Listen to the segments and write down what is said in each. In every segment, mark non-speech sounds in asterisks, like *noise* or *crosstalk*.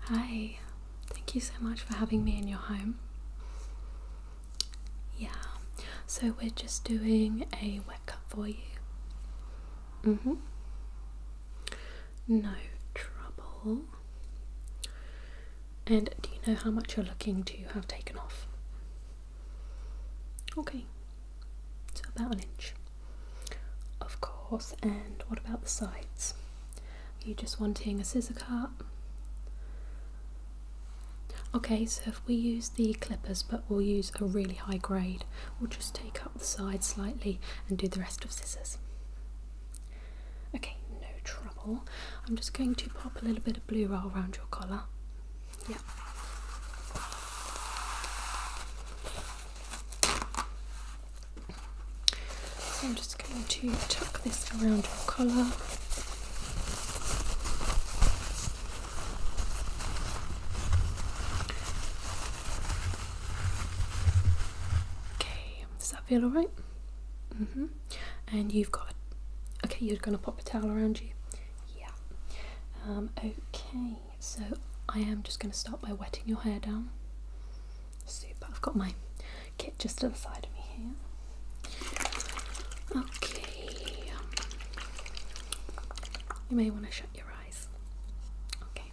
Hi, thank you so much for having me in your home. Yeah, so we're just doing a wet cut for you. Mm hmm. No trouble. And do you know how much you're looking to have taken off? Okay, so about an inch. Of course, and what about the sides? Are you just wanting a scissor cut? Okay, so if we use the clippers but we'll use a really high grade, we'll just take up the sides slightly and do the rest of scissors. Okay, no trouble. I'm just going to pop a little bit of blue around your collar. Yeah. I'm just going to tuck this around your collar. Okay, does that feel alright? hmm And you've got okay, you're gonna pop a towel around you. Yeah. Um, okay so I am just going to start by wetting your hair down. Super, I've got my kit just to the side of me here. Okay, um, you may want to shut your eyes. Okay.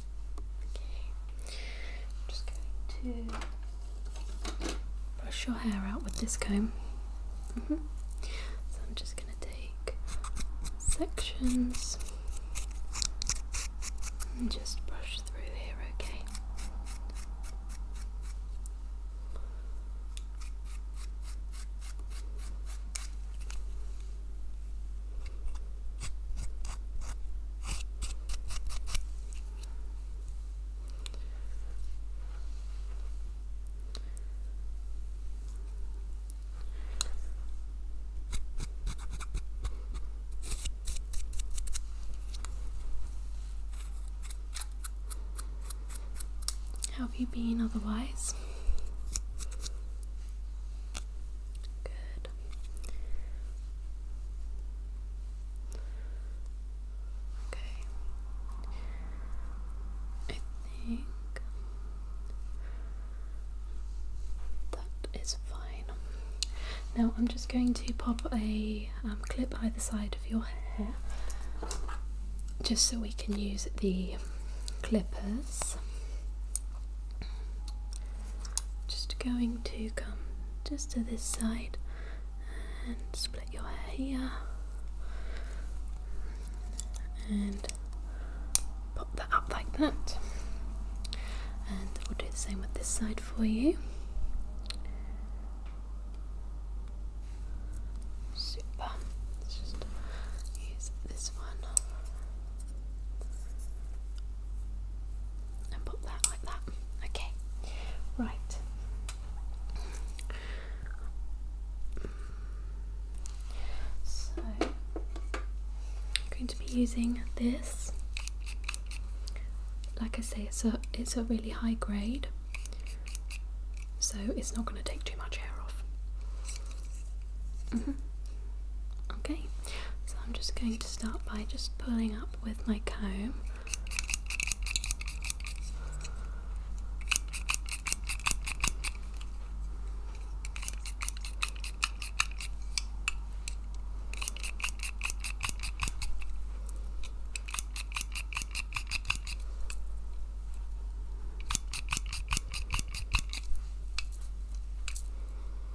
Okay. I'm just going to brush your hair out with this comb. Mm-hmm. So I'm just going to take sections and just brush through here, Okay. How have you been otherwise? Good. Okay. I think that is fine. Now I'm just going to pop a um, clip either side of your hair just so we can use the clippers. Just going to come just to this side and split your hair here and pop that up like that and we'll do the same with this side for you super let's just use this one and put that like that. Okay, right. So I'm going to be using this. Like I say, it's a it's a really high grade, so it's not going to take too much hair off. Mm-hmm. Okay, so I'm just going to start by just pulling up with my comb.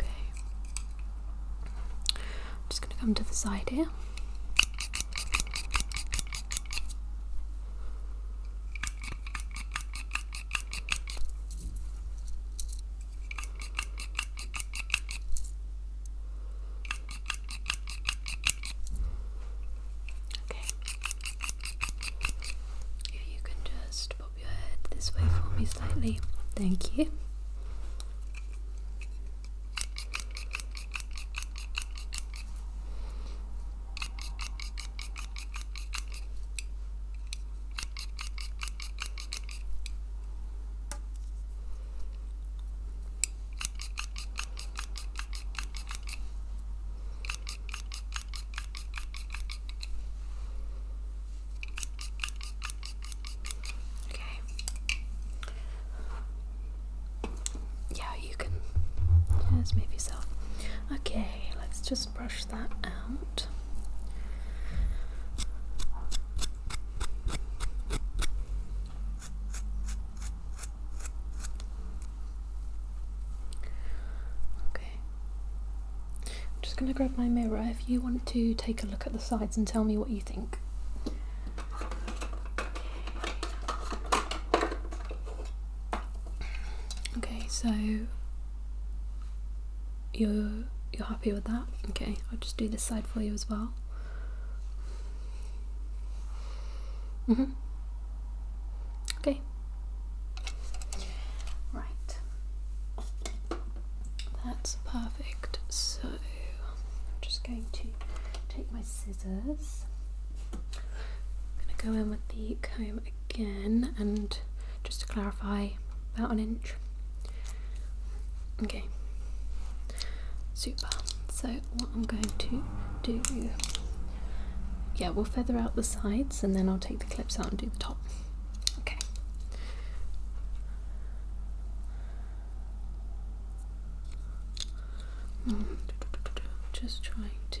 Okay. I'm just going to come to the side here. Okay. If you can just pop your head this way for me slightly. Thank you. Okay. Yeah, you can just move yourself. Okay, let's just brush that out. Okay. I'm just going to grab my mirror if you want to take a look at the sides and tell me what you think. Okay, so you're you're happy with that? Okay, I'll just do this side for you as well. Mm -hmm. Okay. Right. That's perfect. So I'm just going to take my scissors. I'm going to go in with the comb again and just to clarify about an inch. Okay. Super. So what I'm going to do, yeah, we'll feather out the sides and then I'll take the clips out and do the top. Okay. Just trying to.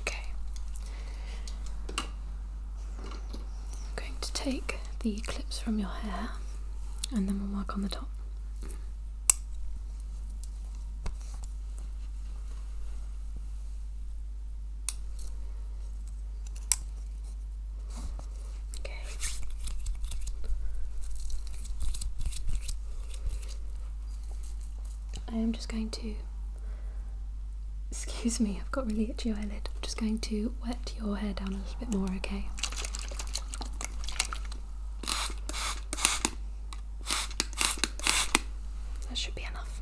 Okay. I'm going to take the clips from your hair and then we'll work on the top. Okay. I am just going to, excuse me, I've got really itchy eyelid. I'm just going to wet your hair down a little bit more, okay? That should be enough.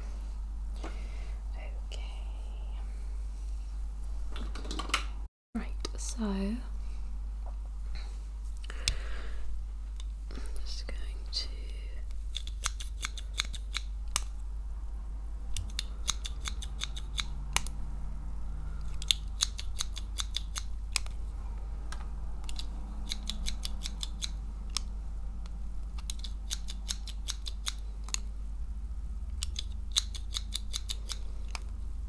Okay. Right, so I'm just going to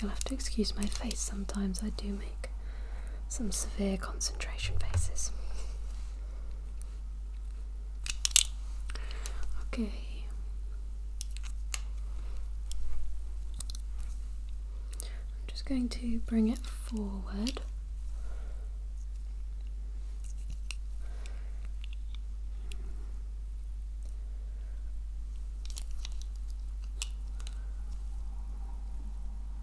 You'll have to excuse my face sometimes, I do some severe concentration faces. Okay. I'm just going to bring it forward.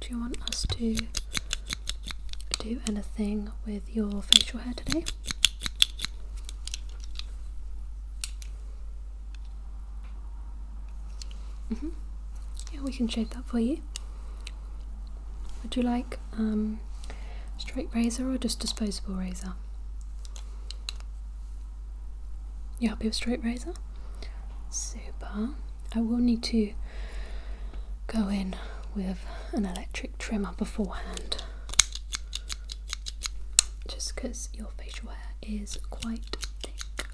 Do you want us to do anything with your facial hair today? Mm-hmm. Yeah, we can shape that for you. Would you like um, straight razor or just disposable razor? You happy with straight razor? Super. I will need to go in with an electric trimmer beforehand just because your facial hair is quite thick.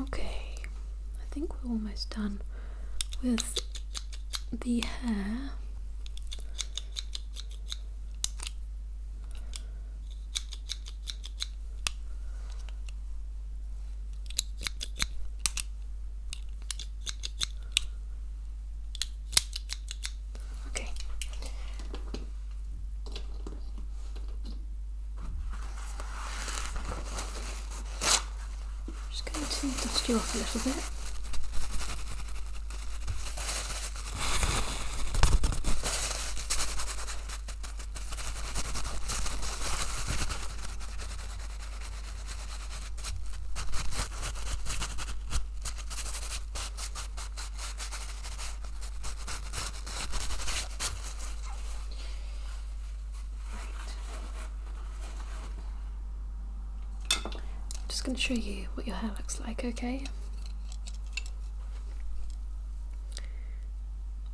Okay, I think we're almost done with the hair. Okay. just going to dust you off a little bit. I'm just going to show you what your hair looks like, okay?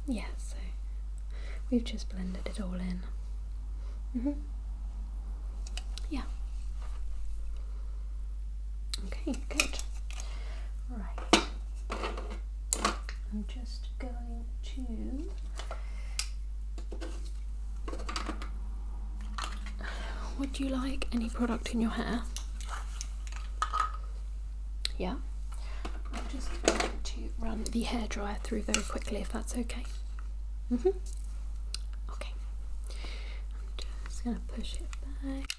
Yeah, so we've just blended it all in. Mm-hmm. Yeah. Okay, good. Right. I'm just going to would you like any product in your hair? Yeah, I'm just going to run the hairdryer through very quickly if that's okay. Mm-hmm. Okay, I'm just going to push it back.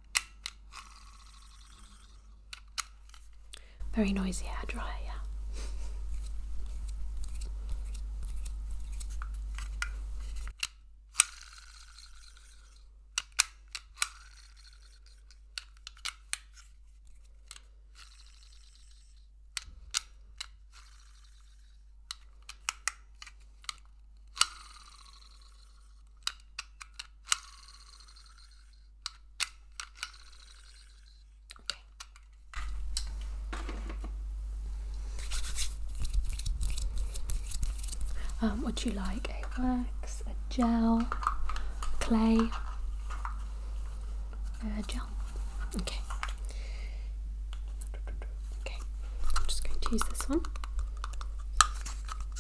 Very noisy hair dryer. Yeah. Okay. Um, would you like a wax, a gel, clay, a gel? Okay. Okay, I'm just going to use this one.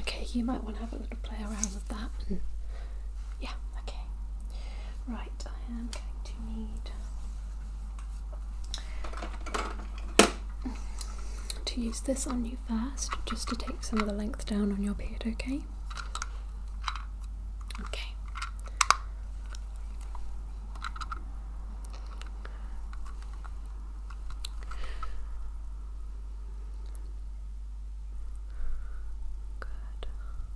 Okay, you might want to have a little play around with that. And yeah, okay. Right, I am going to need to use this on you first, just to take some of the length down on your beard, okay? Okay. Good.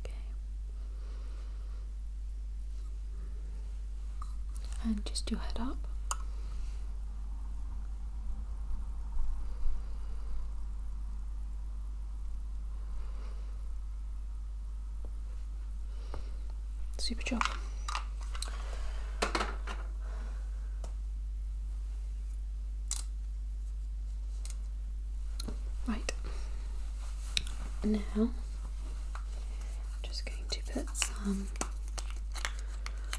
Okay. And just your head up. Super job. Right now I'm just going to put some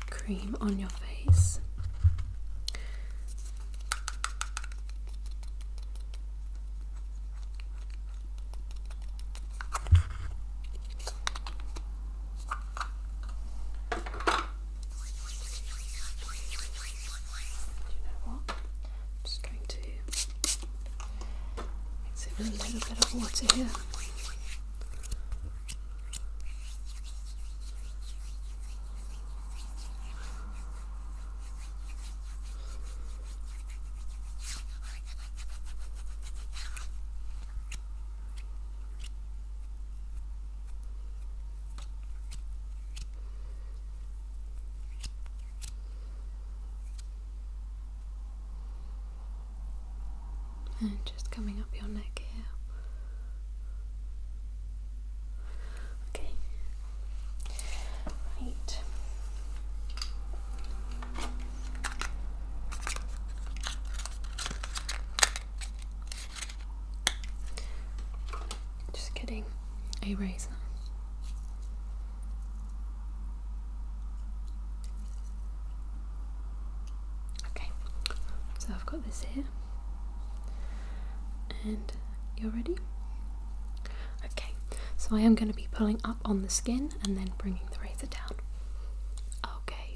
cream on your face you know what? I'm just going to mix in a little bit of water here. And just coming up your neck here. Okay. Right. Just kidding. A razor. Okay, so I've got this here, and you're ready? Okay, so I am going to be pulling up on the skin and then bringing the razor down. Okay.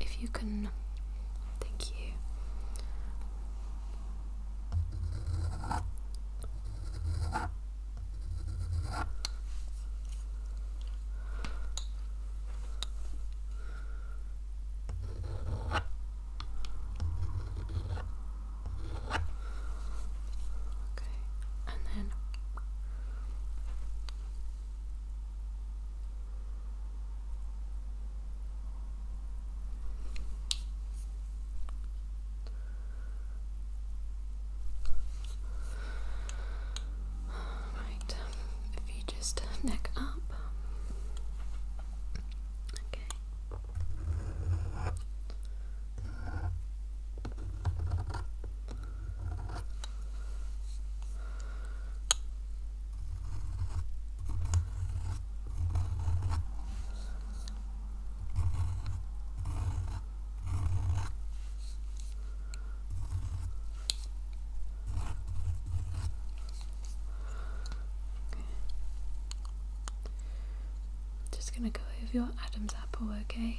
If you can, thank you. Okay, and then Right, if you just neck up. Okay. I'm just going to go over your Adam's apple, okay?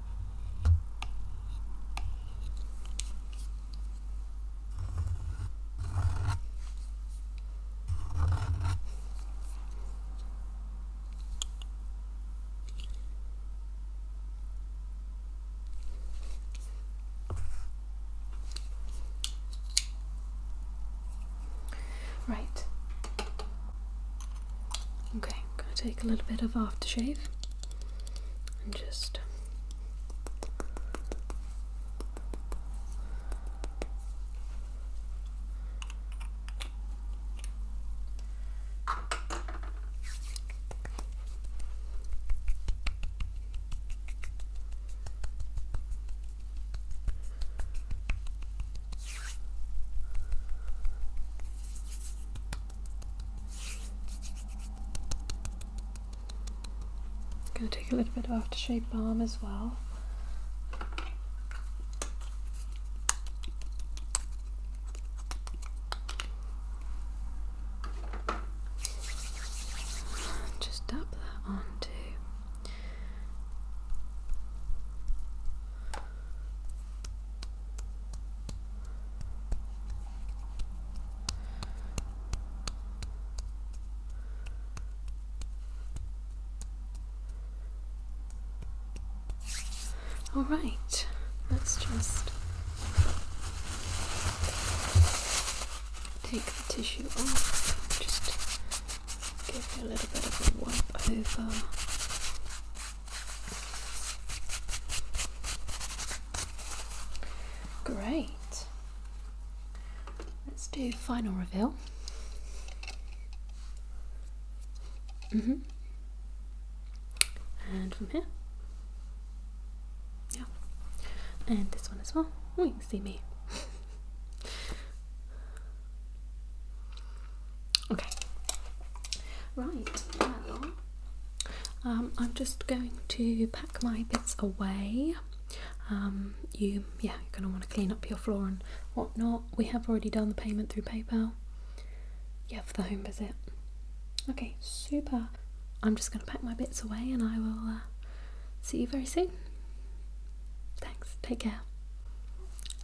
Right. Okay, I'm going to take a little bit of aftershave and just I'm going to take a little bit of aftershave balm as well. Just dab that on all right, let's just take the tissue off, just give it a little bit of a wipe over Great. Let's do final reveal. Mm hmm And from here. Yeah. And this one as well. Oh, can see me. *laughs* Okay. Right. um, I'm just going to pack my bits away. Um, you, yeah, you're gonna want to clean up your floor and whatnot. We have already done the payment through PayPal. Yeah, for the home visit. Okay, super. I'm just gonna pack my bits away, and I will uh, see you very soon. Thanks. Take care.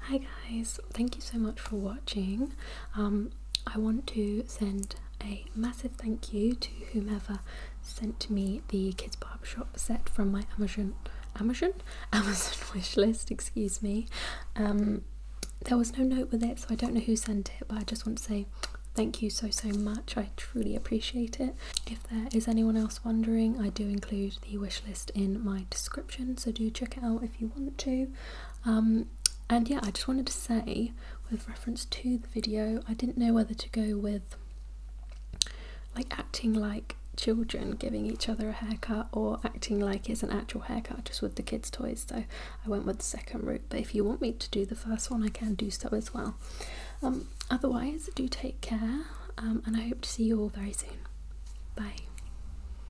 Hi guys thank you so much for watching. Um, I want to send a massive thank you to whomever sent me the Kids Barbershop set from my Amazon Amazon *laughs* Amazon wish list. Excuse me. Um, there was no note with it, so I don't know who sent it, but I just want to say thank you so so much i truly appreciate it if there is anyone else wondering i do include the wish list in my description so do check it out if you want to um, and yeah, I just wanted to say, with reference to the video, I didn't know whether to go with like acting like children giving each other a haircut or acting like it's an actual haircut just with the kids' toys. So I went with the second route, but if you want me to do the first one, I can do so as well. Um, otherwise, do take care um, and I hope to see you all very soon. Bye.